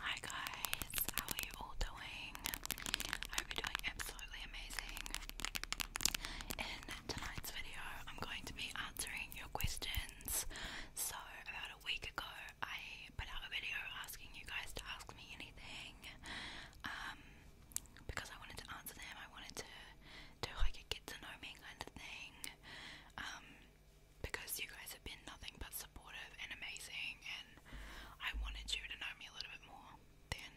Hi guys, how are you all doing? I hope you're doing absolutely amazing. In tonight's video, I'm going to be answering your questions. So, about a week ago, I put out a video asking you guys to ask me anything. Um, because I wanted to answer them, I wanted to do like a get to know me kind of thing. Um, because you guys have been nothing but supportive and amazing, and I wanted you to know me a little bit more than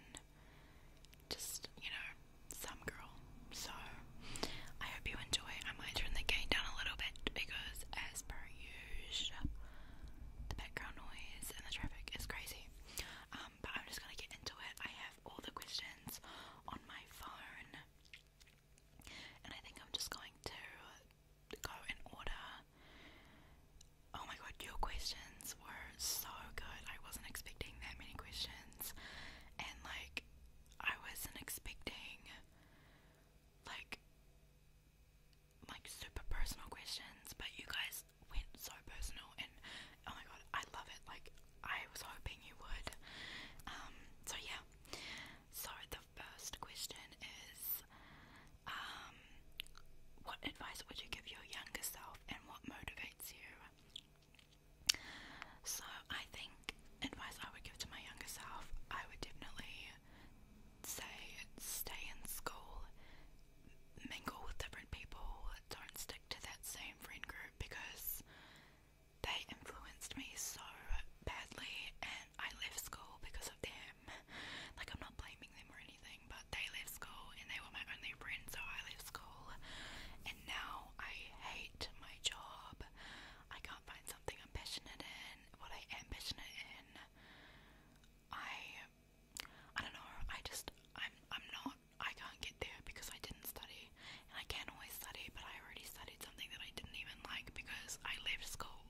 just, you know, some girl. So, I hope you enjoy. I might turn the game down a little bit because, as per usual, the background noise and the traffic is crazy. Um, but I'm just gonna get into it. I have all the questions on my phone. And I think I'm just going to go in order. Oh my god, your questions were so good. I wasn't expecting that many questions. And like, I wasn't expecting like like super personal questions, but you guys went so personal and oh my god, I love it. Like I was hoping you would. Um so yeah. So first question is um, what advice would you give your younger self and what motivates you? So, I think advice I would give to my younger self, I would definitely say stay in school, mingle with different people, don't stick to that same friend group because they influenced me so badly and I left school because of them. Like, I'm not blaming them or anything, but they left school and they were my only friends, so I left school. And now I hate my job. I can't find something I'm passionate in, what I am passionate in. I, I don't know, I just, I'm, I'm not, I can't get there because I didn't study. And I can always study, but I already study studied something that I didn't even like because I left school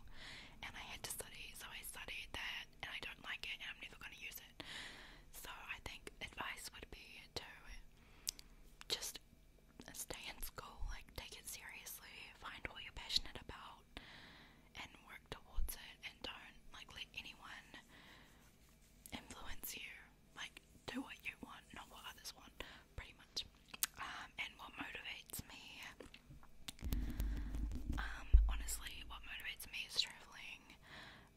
and I had to study, so I studied that and I don't like it and I'm never going to use it. So I think advice would be to just stay in school, like take it seriously, find what you're passionate about and work towards it and don't like let anyone influence you. Like do what you want, not what others want pretty much. Um, and what motivates me? Um, honestly, what motivates me is traveling,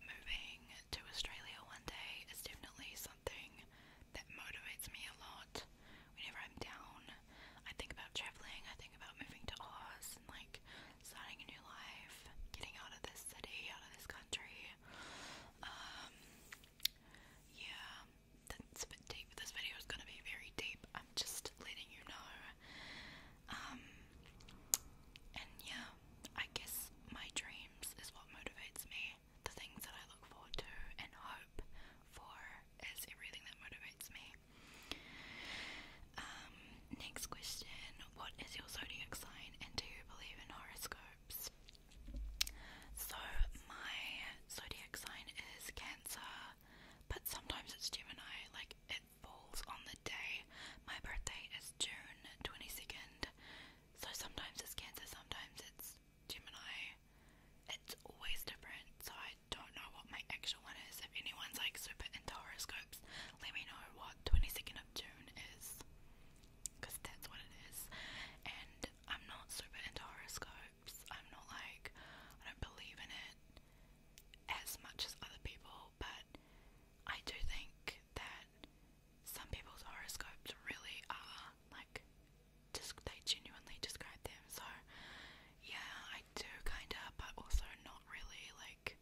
moving to Australia one day is definitely something that motivates me a lot. Whenever I'm down, I think about traveling, I think about moving to Oz and like starting a new life, getting out of this city, out of this country. Um, yeah, that's a bit deep. This video is gonna be very deep. I'm just letting you know. Um, and yeah, I guess my dreams is what motivates me. The things that I look forward to and hope for is everything that motivates me. Um, next question: What is your zodiac sign, and do you believe in horoscopes? So my zodiac sign is Cancer, but sometimes it's Gemini. Like it falls on the day. My birthday is June twenty second, so sometimes it's Cancer, sometimes it's Gemini. It's always different, so I don't know what my actual one is. If anyone's like super into horoscopes, let me know what twenty second of June is, because that's what it is. And I'm not super into horoscopes. I'm not like, I don't believe in it as much as other people, but I do think that some people's horoscopes really are like, they genuinely describe them. So, yeah, I do kinda, but also not really like,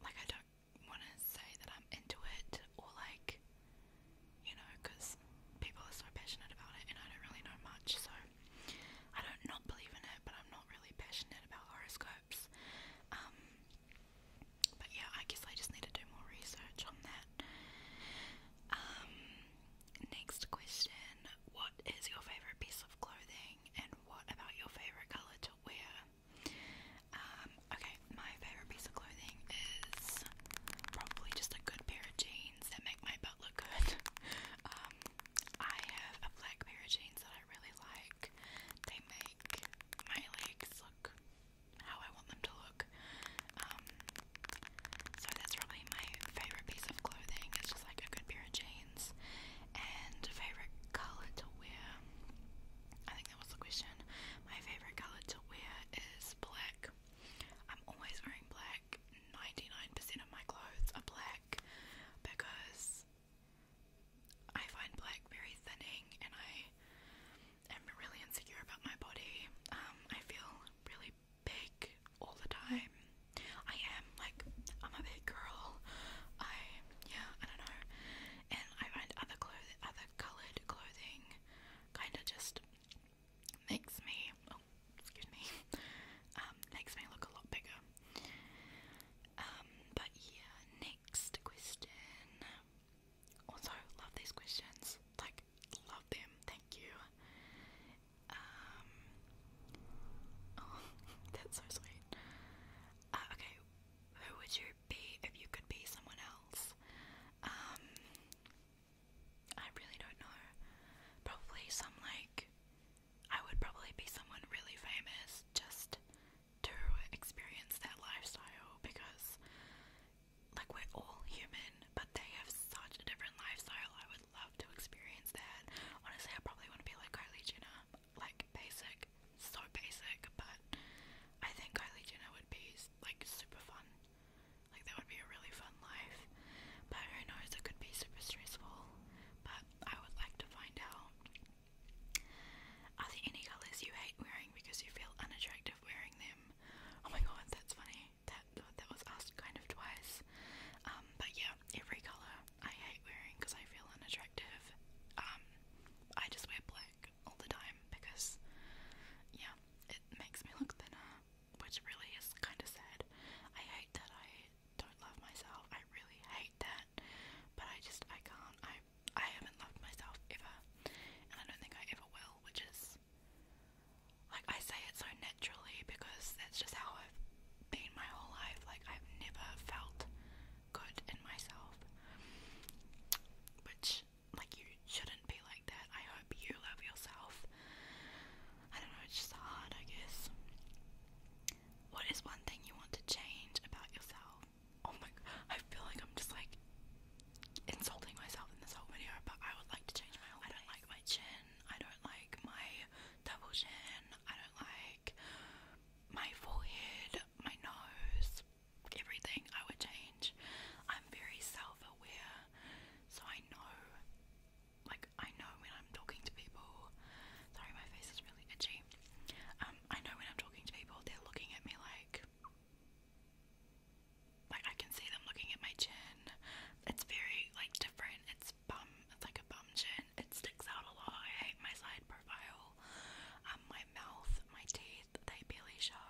like I don't want to say that I'm into it or like you know, because people are so passionate about it and I don't really know much, so I don't not believe in it, but I'm not really passionate about horoscopes. Um, but yeah, I guess I just need to do more research on that. Um, next question What is your favourite piece of clothing and what about your favourite colour to wear? Um, okay, my favourite piece of clothing is probably just a good pair of jeans that make my butt look good. Um, I have a black pair of jeans that I really like. They make my legs look how I want them to look. Um, so that's probably my favorite piece of clothing. It's just like a good pair of jeans. And favorite color to wear. I think that was the question. My favorite color to wear is black. I'm always wearing black like 99% of my clothes are black because I find black very thinning and I am really insecure about my body. Um, I feel really big all the time. I am like I'm a big girl. I yeah, I don't know. And I find other clothes other coloured clothing kinda just makes me oh excuse me um makes me look a lot bigger um but yeah next question also love these questions like love them thank you um oh, that's so sweet uh, okay who would you be if you could be someone else um I really don't know. Probably some like I would probably be someone really famous just to experience that lifestyle because like we're all human, but they have such a different lifestyle. I would love to experience that. Honestly, I probably want to be like Kylie Jenner, like basic, so basic, but I think Kylie Jenner would be like super fun. Like that would be a really fun life. But who knows, it could be super stressful. But I would like to find out. Are there any colours you hate wearing because you feel unattractive wearing them? Oh my god, that's funny. That that was asked kind of twice. Um, but yeah, every colour I hate wearing because I feel unattractive. Um, I just wear black all the time because yeah, it makes me look thinner which really is kind of sad. I hate that I don't love myself. I really hate that, but I just I can't. I I haven't loved myself ever, and I don't think I ever will. Which is like I say it so naturally because that's just how I've been my whole life. Like I've never felt good in myself, which like you shouldn't be like that. I hope you love yourself. I don't know, it's just hard, I guess. What is one thing you want to change about yourself? Oh my god, I feel like I'm just like insulting myself in this whole video, but I would like to change my whole I don't like my chin, I don't like my double chin, I don't like my forehead, my nose, everything I would change. I'm very self-aware, so I know, like I know when I'm talking to people. Sorry, my face is really itchy. Um, I know when I'm talking to people, they're looking at me like, like I can see them looking at my chin. It's very like different. It's bum. It's like a bum chin. It sticks out a lot. I hate my side profile. Um, my mouth, my teeth, they barely show.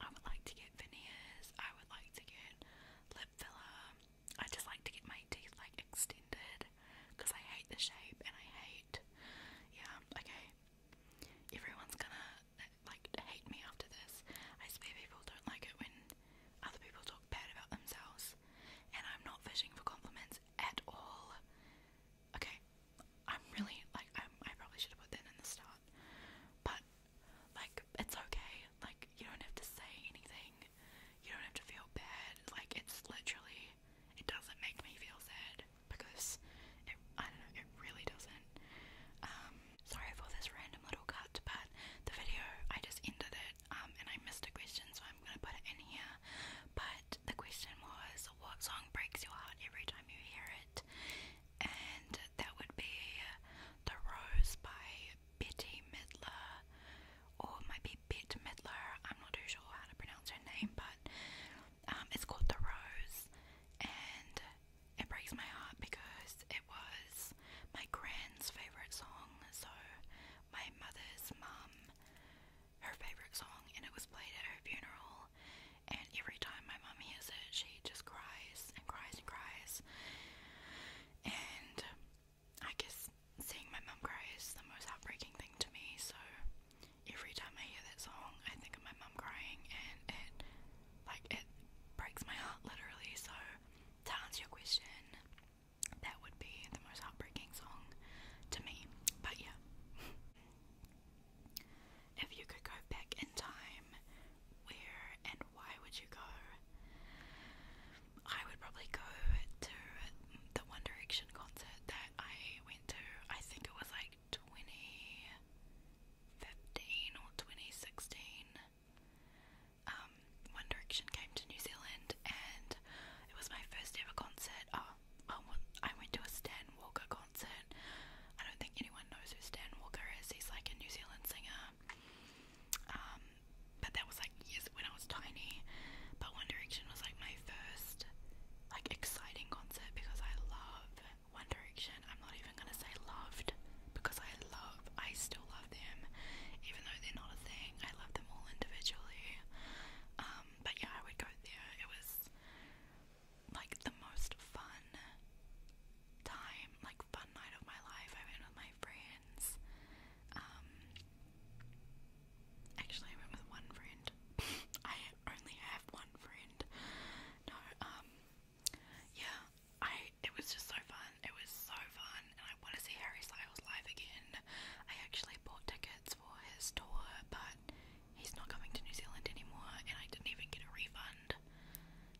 I would like to get veneers, I would like to get lip filler. I just like to get my teeth like extended because I hate the shape and I hate. Yeah, okay. Everyone's gonna like hate me after this. I swear people don't like it when other people talk bad about themselves. And I'm not fishing for compliments at all. Okay, I'm really like I'm, probably should have put that in the start, but like, it's okay. Like, you don't have to say anything. You don't have to feel bad. Like, it's literally, it doesn't make me feel sad because it, I don't know, it really doesn't. Um, sorry for this random little cut, but the video, I just ended it, um, and I missed a question, so I'm gonna put it in here. But the question was, what song breaks your heart every time you hear it? And that would be The Rose by Betty Midler, or it might be Bet Midler, I'm not too sure how to pronounce her name, but um, it's called The Rose, and it breaks my heart because it was my grand's favourite song, so my mother's mum, her favourite song, and it was played at her funeral, and every time my mom hears it, she just cries and cries and cries. And I guess seeing my mum cry is the most heartbreaking thing to me, so every time I hear that song, I think of my mum crying, and it, like, it breaks my heart literally. So, to answer your question, that would be the most heartbreaking song to me, but yeah. If you could go back in time, where and why would you go? I would probably go to the One Direction concert that I went to. I think it was like 2015 or 2016. Um, One Direction came to New Zealand and it was my first ever concert. Oh, I went to a Stan Walker concert. I don't think anyone knows who Stan Walker is. He's like a New Zealand singer. Um, but that was like years when I was tiny. But One Direction was like my first like exciting concert because I love One Direction. I'm not even gonna say loved because I love I still love them. Even though they're not a thing. I love them all individually. Um, but yeah, I would go there. It was like the most fun time, like fun night of my life. I went with my friends. Um, actually, I went with one friend. I only have one friend. No, um, yeah, I. It was just so fun. It was so fun, and I want to see Harry Styles live again. I actually bought tickets for his tour, but he's not coming to New Zealand anymore, and I didn't even get a refund.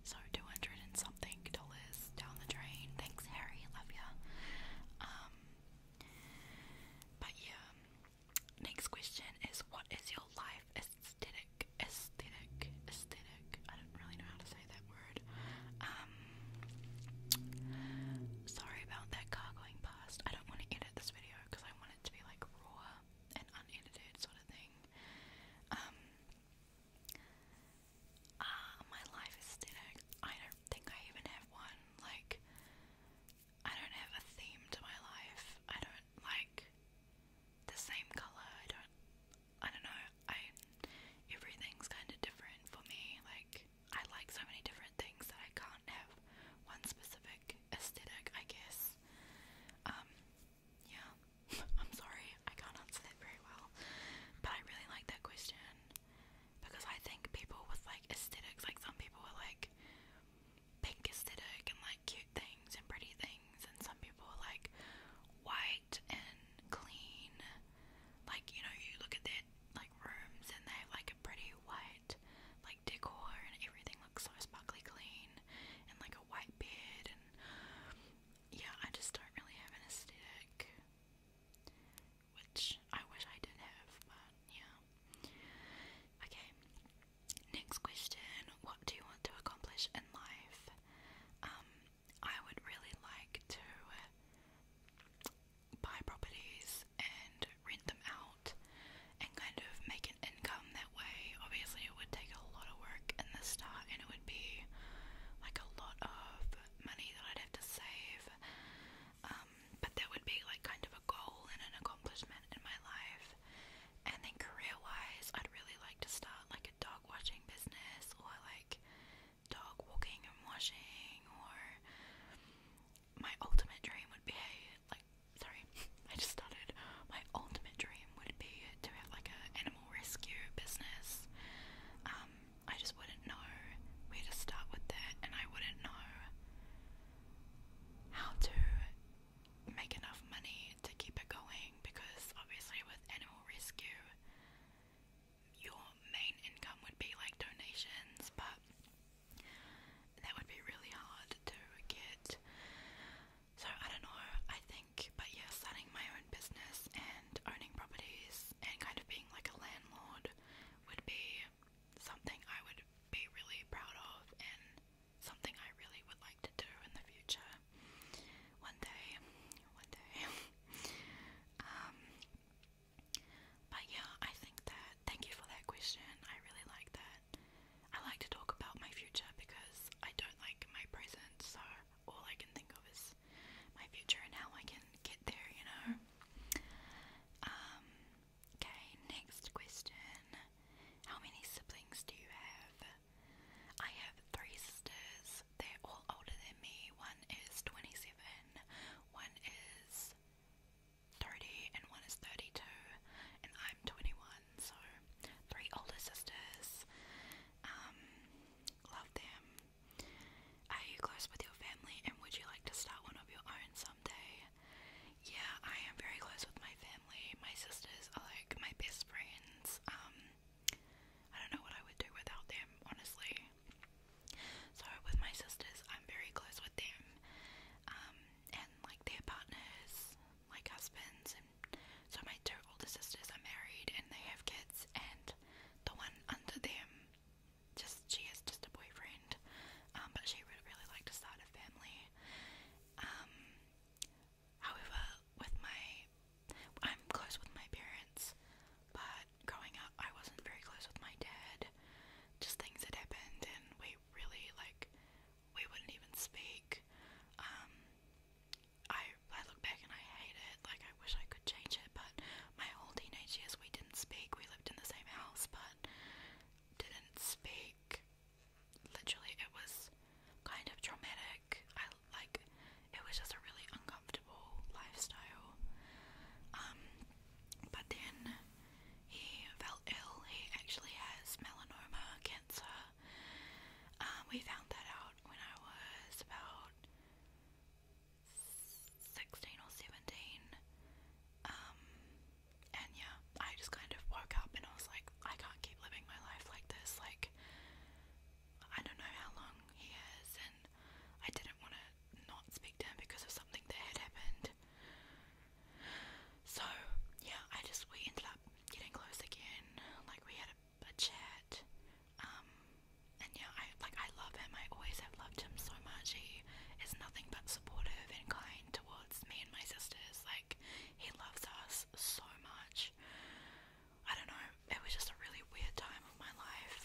So, 200 and something dollars down the drain. Thanks, Harry. Love ya. Um, but yeah. Next question is What is your life aesthetic? Aesthetic? Aesthetic? I don't really know how to say that word. Um, sorry about that car going past. I don't want to edit this video because I want it to be like raw and unedited, sort of thing. Um, uh, my life is I don't think I even have one. Like, I don't have a theme to my life. I don't like the same color. I don't. I don't know. I everything's kind of different for me. Like, I like so many different things that I can't have one specific aesthetic. I guess. Um, yeah, I'm sorry, I can't answer that very well. But I really like that question because I think people with like aesthetics, like some people are like pink aesthetic and like cute things and pretty things, and some people are like white and clean. Like, you know, you look at their like rooms and they have like a pretty white, decor and everything looks so sparkly clean and like a white bed and yeah, I just don't really have an aesthetic which I wish I did have, but yeah. Okay. Next question, what do you want to accomplish in life? Um, I would really like to buy properties and rent them out and kind of make an income that way. Obviously, it would take a lot of work in the start, and it would be like a lot of money that I'd have to save. Um, but that would be like kind of a goal and an accomplishment in my life. And then career-wise, I'd really like to start like a dog watching business or like dog walking and washing. Or my ultimate dream would be hey, like sorry, I just started. My ultimate dream would be to have like an animal rescue business. Um, I just wouldn't know where to start with that, and I wouldn't know how to make enough money to keep it going because obviously, with animal rescue, your main income would be like donations, but that would be really hard to get so I don't know, I think, but yeah, starting my own business and owning properties and kind of being like a landlord would be something I would be really proud of and something I really would like to do in the future. One day, one day. um, but yeah, I think that, thank you for that question, I really like that. I like to talk about my future because I don't like my present, so all I can think of is my future and how I can get there, you know? Um, okay, next question. How many siblings do you have? I have three sisters. They're all older than me. One is 27, one is 30, and one is 32, and I'm 21 so three older sisters. Um, love them. Are you close with your family and would you like to start one of your own someday? Yeah, I am very close with my family. My sisters are like my best friends. Um, I don't know what I would do without them, honestly. So, with my sisters, I'm very close with them. Um, and like their partners, like husbands so my two older sisters are married and they have kids and the one under them just she has just a boyfriend um, but she would really like to start a family um, however with my I'm close with my parents but growing up I wasn't very close with my dad just things that happened and we really like we wouldn't even speak. Um, I I look back and I hate it. Like I wish I could change it, but my whole teenage years we didn't speak. We lived in the same house, but didn't speak. Literally, it was kind of traumatic. I like it was just a really uncomfortable lifestyle. Um, but then he felt ill. He actually has melanoma cancer. Um, we found that out when I was about 16 or 17. Um, and yeah, I just kind of woke up and I was like, I can't keep living my life like this. Like, I don't know how long he is, and I didn't want to not speak to him because of something that had happened. So, yeah, I just, we ended up getting close again. Like, we had a, chat. Um, and yeah, I, like, I love him. I always have loved him so much. He is nothing but supportive and kind towards me and my sisters. Like, he loves us so much. I don't know, it was just a really weird time of my life.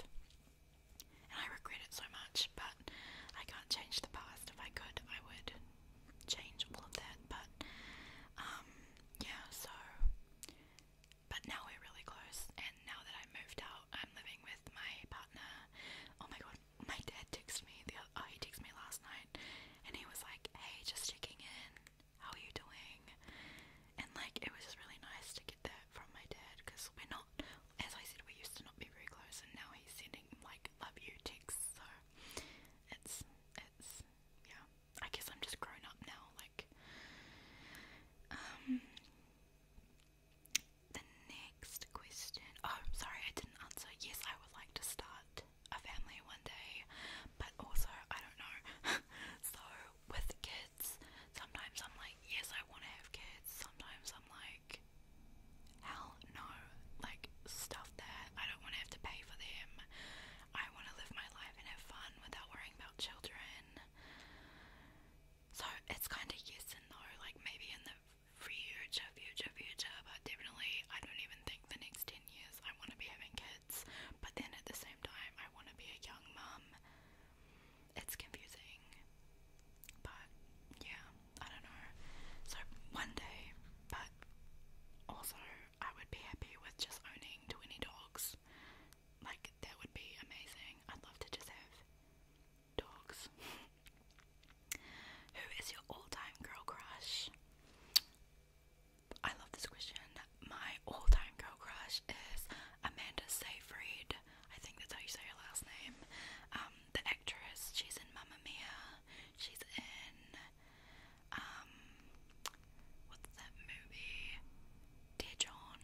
And I regret it so much, but I can't change the past. If I could, I would change all of that, but um, yeah, so but now we're really close, and now that I moved out, I'm living with my partner. Oh my god, my dad texted me the oh he texted me last night, and he was like, "Hey, just checking in. How are you doing?" And like, it was just really nice to get that from my dad because we're not, as I said, we used to not be very close, and now he's sending like "love you" texts. So it's it's yeah. I guess I'm just grown up now. Like, um, the next question. Oh, sorry, I didn't answer. Yes, I would like to start a family one day, but also I don't know. so with kids, sometimes I'm like, yes, I want to have kids. Sometimes I'm like hell no, like, stuff that I don't want to have to pay for them. I want to live my life and have fun without worrying about children. So it's kind of yes and no, like, maybe in the future, future, future, but definitely I don't even think the next 10 years I want to be having kids, but then at the same time, I want to be a young mum. It's confusing, but yeah. I don't know. So one day, but also I would be happy with just owning 20 dogs. Like that would be amazing. I'd love to just have dogs. Who is your all-time girl crush? I love this question. My all-time girl crush is Amanda Seyfried. I think that's how you say your last name. Um, um, the actress. She's in Mamma Mia. She's in um, what's that movie? Dear John.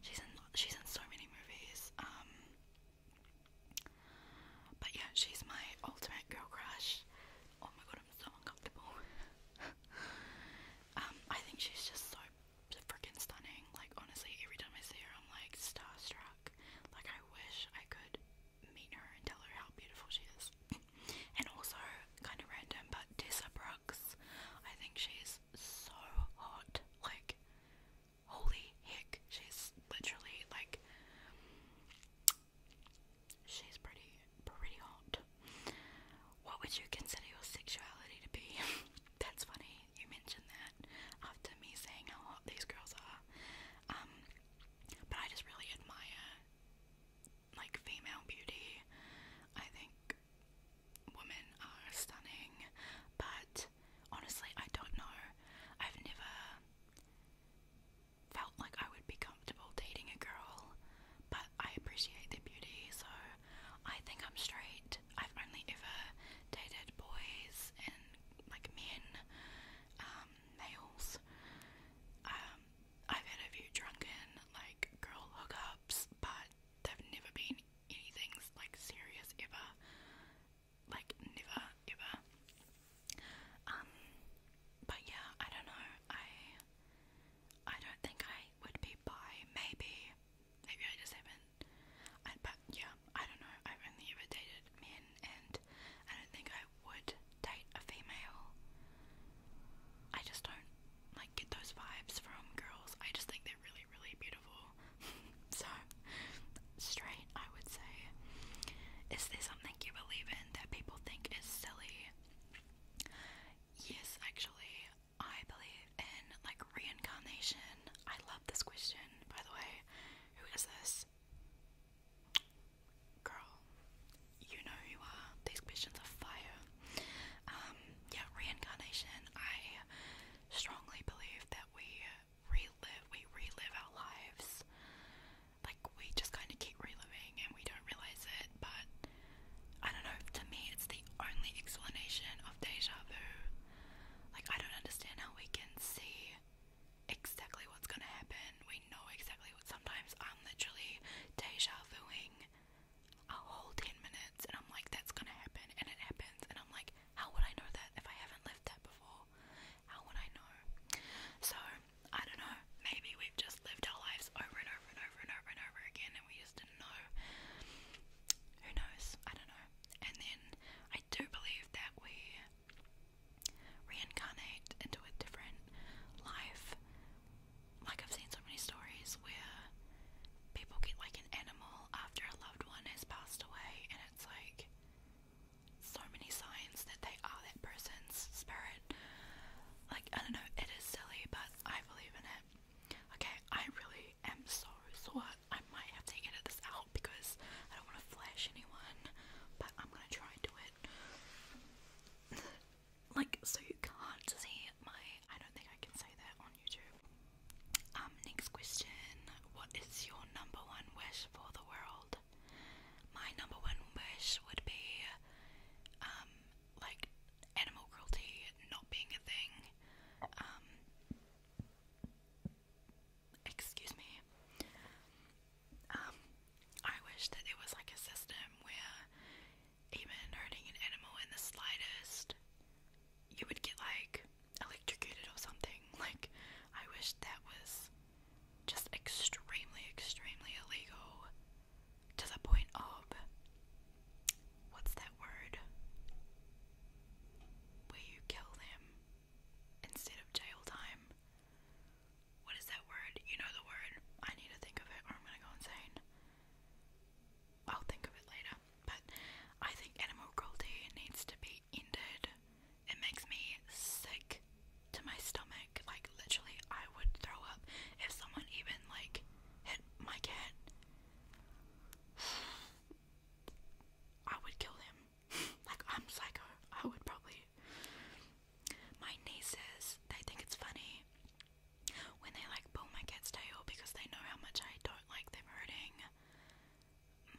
She's in she's in so many movies. Um, but yeah, she's my ultimate girl crush. Oh my god, I'm so uncomfortable. um, I think she's just so freaking stunning. Like honestly, every time I see her, I'm like starstruck. Like I wish I could meet her and tell her how beautiful she is. and also, kind of random, but Tessa Brooks, I think she's so hot. Like, holy heck, she's literally like, she's pretty, pretty hot. What would you consider your sexuality to be? That's funny, you mentioned that after me saying how hot these girls are. Um, but I just really admire like female beauty. I think women are stunning, but honestly, I don't know. I've never felt like I would be comfortable dating a girl, but I appreciate their beauty, so I think I'm straight. I've only ever dated boys and like men, um, nails. Um, I've had a few drunken, like, girl hookups, but they've never been anything, like, serious ever. Like, never, ever. Um, but yeah, I don't know. I, I don't think I would be bi. Maybe, maybe I just have I, but yeah, I don't know, I've only ever dated men and I don't think I would date a female. I just don't like get those vibes from girls. I just think they're really, really beautiful. so straight I would say. Is there something you believe in that people think is silly? Yes, actually. I believe in like reincarnation. I love this question, by the way. Who is this? girl, you know who you are. These questions are fire. Um, yeah, reincarnation. I strongly believe that we relive, we relive our lives. Like we just kind of keep reliving and we don't realize it. But I don't know. To me, it's the only explanation of deja vu. Like I don't understand how we can see exactly what's gonna happen. We know exactly what. Sometimes I'm literally deja vuing a whole 10 minutes and I'm like, that's gonna happen, and it happens. And I'm like, how would I know that if I haven't lived that before? How would I know? So, I don't know. Maybe we've just lived our lives over and over and over and over and over again and we just didn't know. Who knows? I don't know. And then I do believe that we reincarnate into a different life. Like, I've seen so many stories where people get like an animal after a loved one has passed away, and it's like so many signs that they are that person's spirit. Like, I don't know, it is silly, but I believe in it. Okay, I really am so sore I might have to edit this out because I don't want to flash anyone, but I'm gonna try and do it. like, so you can't see my. I don't think I can say that on YouTube. Um, next question What is your number one wish for the world? My number one wish would be, um, like, animal cruelty not being a thing. Um, excuse me. Um, I wish that it was like a system where even hurting an animal in the slightest, you would get like electrocuted or something. Like, I wish that was just extremely, extremely illegal to the point of what's that word? Where you kill them instead of jail time. What is that word? You know the word. I need to think of it or I'm gonna go insane. I'll think of it later. But I think animal cruelty needs to be ended. It makes me sick to my stomach. Like literally I would throw up if someone even like hit my cat. I would kill him like I'm psycho. I would probably. My nieces, they think it's funny when they like boom my cat's tail because they know how much I don't like them hurting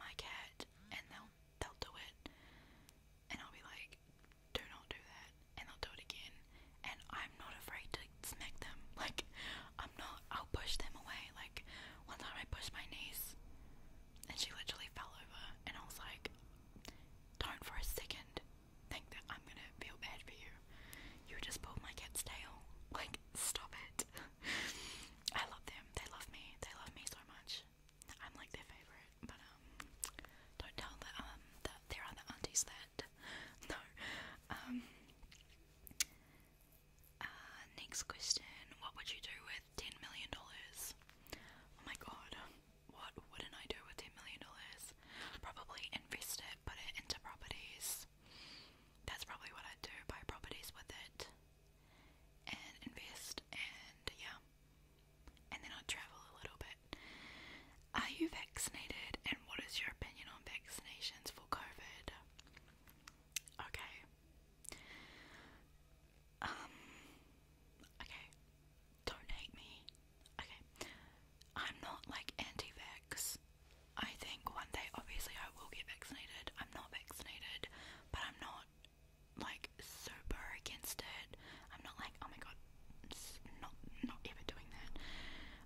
my cat, and they'll they'll do it, and I'll be like, "Do not do that," and they'll do it again, and I'm not afraid to smack them. Like I'm not. I'll push them away. Like one time I pushed my niece and she literally fell over, and I was like, don't for a second think that I'm gonna feel bad for you. You just pulled my kids' tail. Like, stop it. I love them. They love me. They love me so much. I'm like their favorite, but um, don't tell the um that there are the aunties that no, um, uh, next question. What would you do with ten million dollars? Oh my god. What wouldn't I do with ten million dollars? Probably invest it, put it into properties. That's probably what I'd do. Buy properties with it, and invest, and yeah. And then I'd travel a little bit. Are you vaccinated? And what is your opinion on vaccinations for COVID? Okay. Um, okay. Don't hate me. Okay. I'm not like anti vax. I think one day, obviously, I will get vaccinated. I'm not vaccinated, but I'm not like super against it. I'm not like, oh my god, not, not ever doing that.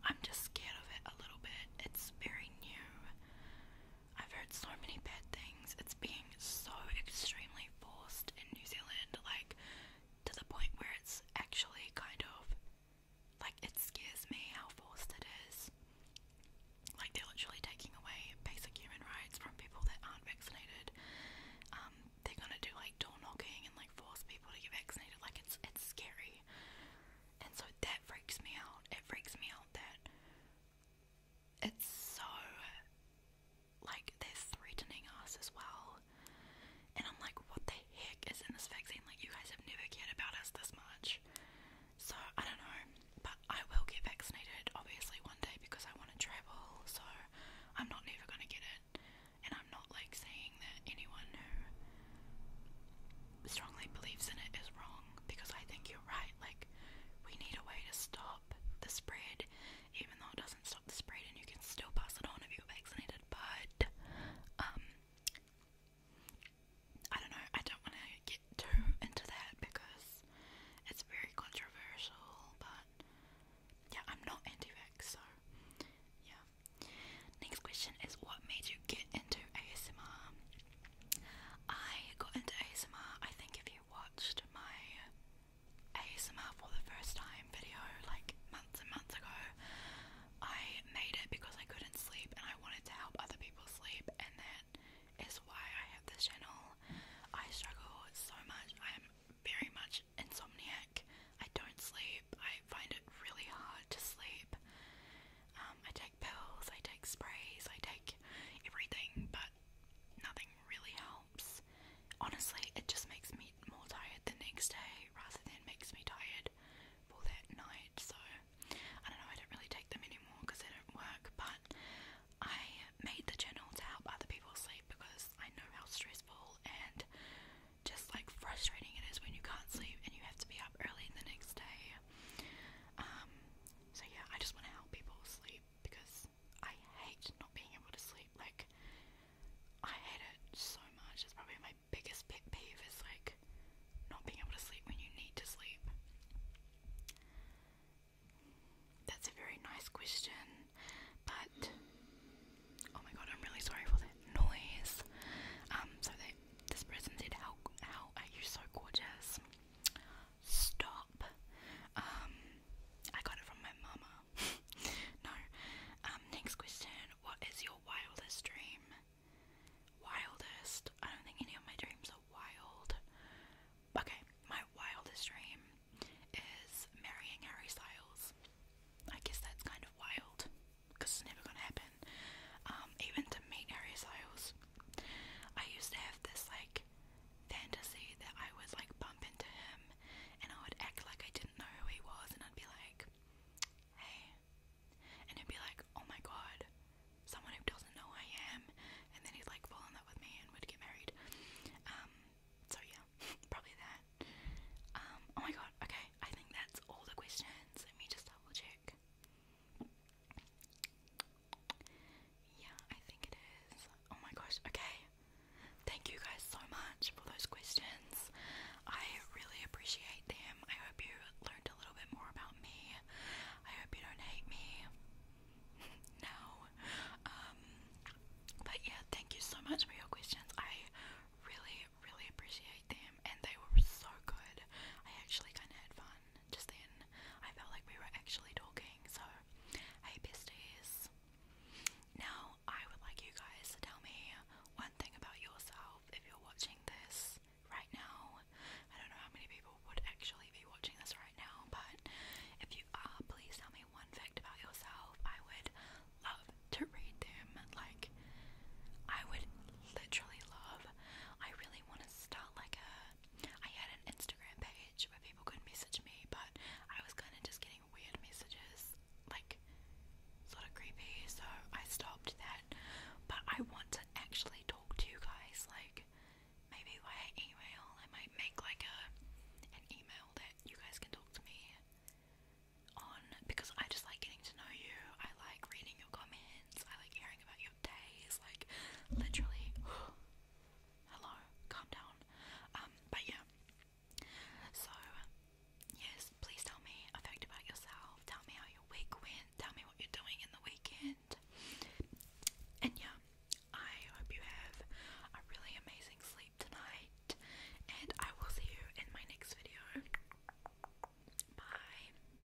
I'm just scared of it a little bit. It's very new. I've heard so many bad things. It's being so extremely forced in New Zealand, like to the point where it's actually kind of like it scares me how forced it is. Like they're literally taking away basic human rights from people that aren't vaccinated. Um, they're gonna do like door knocking and like force people to get vaccinated. Like it's it's scary, and so that freaks me out. It freaks me out that it's so like they're threatening us as well. And I'm like, what the heck is in this vaccine? Like, you guys have never cared about us this much. So, I don't know. But I will get vaccinated, obviously, one day because I want to travel. So, I'm not ever going to get it. And I'm not like saying that anyone who strongly believes in it is wrong because I think you're right. Like, we need a way to stop the spread, even though it doesn't stop the spread, and you can still pass it on if you're vaccinated. But, um, I don't know, I don't want to get too into that because it's very controversial, but yeah, I'm not anti vax, so yeah. Next question is what made you get into ASMR? I got into ASMR, I think if you watched my ASMR for the first time video like months and months ago, I made it because I couldn't sleep and I wanted to help other people sleep and that is why I have this channel. I struggle so much, I am very much insomniac. I don't sleep, I find it really hard to sleep. Um, pills, I take sprays, I take everything, but nothing really helps. Honestly, it just makes me more tired the next day rather than makes me tired for that night. So, I don't know, I don't really take them anymore because they don't work, but I made the journal to help other people sleep because I know how stressful and just like frustrating it is when you can't sleep and you have to be up early the next day. Um, so yeah, I just want to help people sleep because I hate not being able to sleep. Like, I hate it so much. It's probably my biggest pet peeve It's like not being able to sleep when you need to sleep. That's a very nice question, but oh my god, I'm really sorry for that noise. Um, so this person said, "How how are you so gorgeous?" Stop. Um, I got it from my mama. no. Um, next question. What is your wildest dream? Wildest? I don't think any of my dreams are wild. Okay, my wildest dream is marrying Harry Styles. I guess that's kind of wild because it's never gonna happen. Um, even to meet Harry Styles. I used to have this like fantasy that I would like bump into him and I would act like I didn't know who he was and I'd be like, hey. And he'd be like, oh my god, someone who doesn't know who I am. And then he'd like fall in love with me and would get married. Um, so yeah, probably that. Um, oh my god, okay, I think that's all the questions. Let me just double check. Yeah, I think it is. Oh my gosh, okay. Thank you guys so much for those questions. I really appreciate them. I hope you learned a little bit more about me. I hope you don't hate me. no. Um but yeah, thank you so much for your questions. I really, really appreciate them and they were so good. I actually kinda had fun just then I felt like we were actually talking. So, hey, besties. Now, I would like you guys to tell me one thing about yourself if you're watching this right now. I don't know how many people would actually be watching this right now, but if you are, please tell me one fact about yourself. I would love to read them. Like, I would literally love. I really want to stop out like a I had an Instagram page where people could message me, but I was kind of just getting weird messages, like sort of creepy, so I stopped that. But I want to actually talk to you guys, like maybe via email. I might make like a an email that you guys can talk to me on because I just like getting to know you. I like reading your comments. I like hearing about your day like literally hello, calm down. Um, but yeah. So yes, please tell me a fact about yourself. Tell me how your week went. Tell me what you're doing in the weekend. And yeah, I hope you have a really amazing sleep tonight. And I will see you in my next video. Bye.